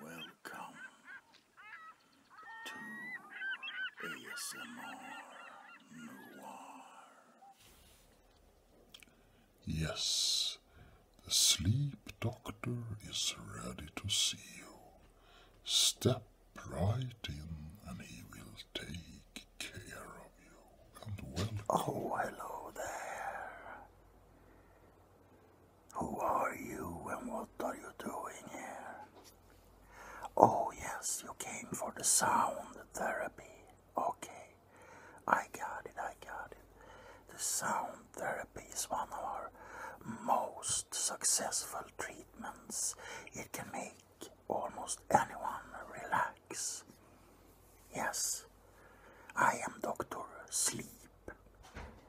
Welcome to ASMR Noir. Yes, the sleep doctor is ready to see you. Step right in and he will take care of you. And welcome. Oh, hello there. Who are you and what are you doing here? Oh, yes, you came for the sound therapy. Okay, I got it, I got it. The sound therapy is one of our most successful treatments. It can make almost anyone relax. Yes, I am Dr. Sleep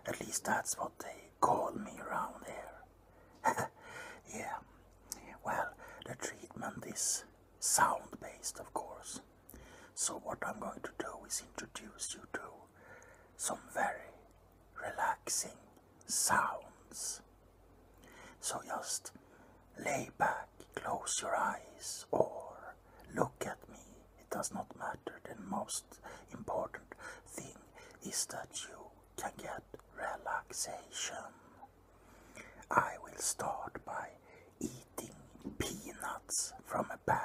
at least that's what they call me around here. yeah. Well, the treatment is sound based, of course. So, what I'm going to do is introduce you to some very relaxing sounds. So, just lay back, close your eyes, or Look at me. It does not matter. The most important thing is that you can get relaxation. I will start by eating peanuts from a bag.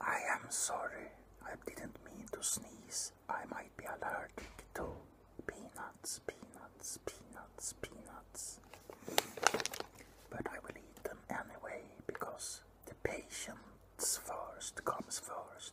I am sorry, I didn't mean to sneeze. I might be allergic to peanuts, peanuts, peanuts, peanuts. But I will eat them anyway because the patient's first comes first.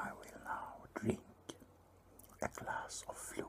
I will now drink a glass of fluid.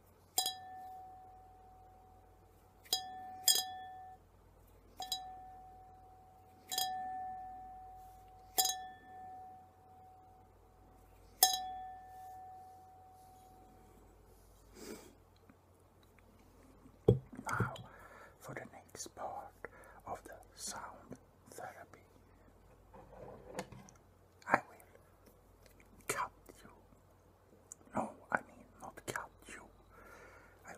Now for the next part of the sound therapy. I will cut you no, I mean not cat, you. I would...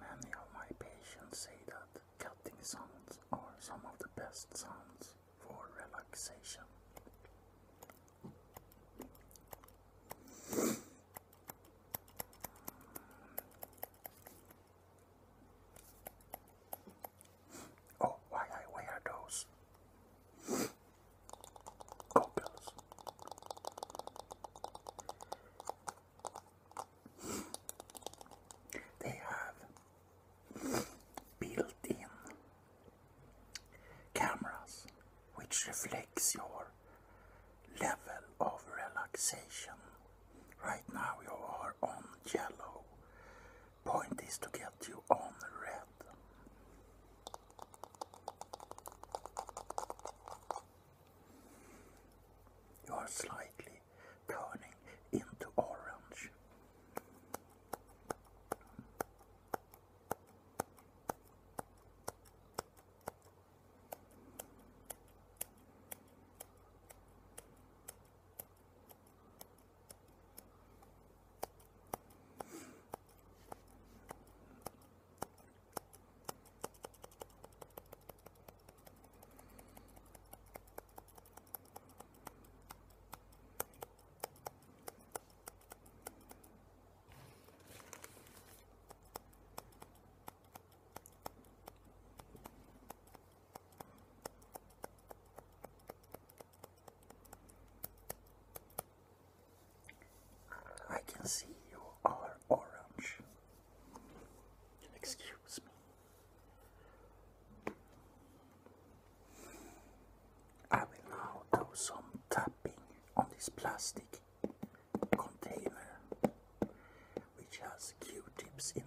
Many of my patients say that cutting sounds are some of the best sounds for relaxation. Oh, why I wear those goggles. They have built-in cameras which reflects your level of relaxation. Right now you are on yellow. Point is to get you on red. You are slightly turning into orange. I can see you are orange. Excuse me. I will now do some tapping on this plastic container which has Q-tips in it.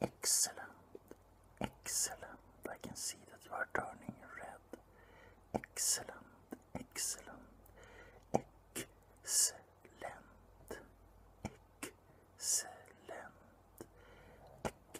Excellent, excellent. I can see that you are turning red. Excellent, excellent, excellent, excellent, excellent.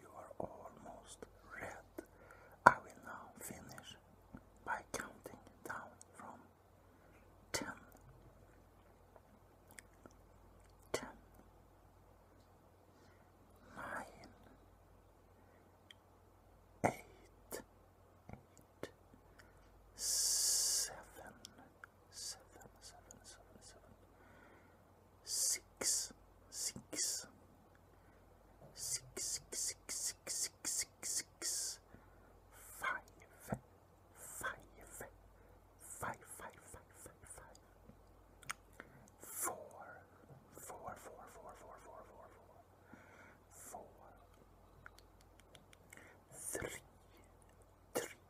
You are almost red. I will now finish by counting down from ten seven, seven, seven, seven, six, six, six, six, six, six, six, six, six, five, five, five, five, five, five, five, four, four, four, four, four, four, four, four, four, three, three.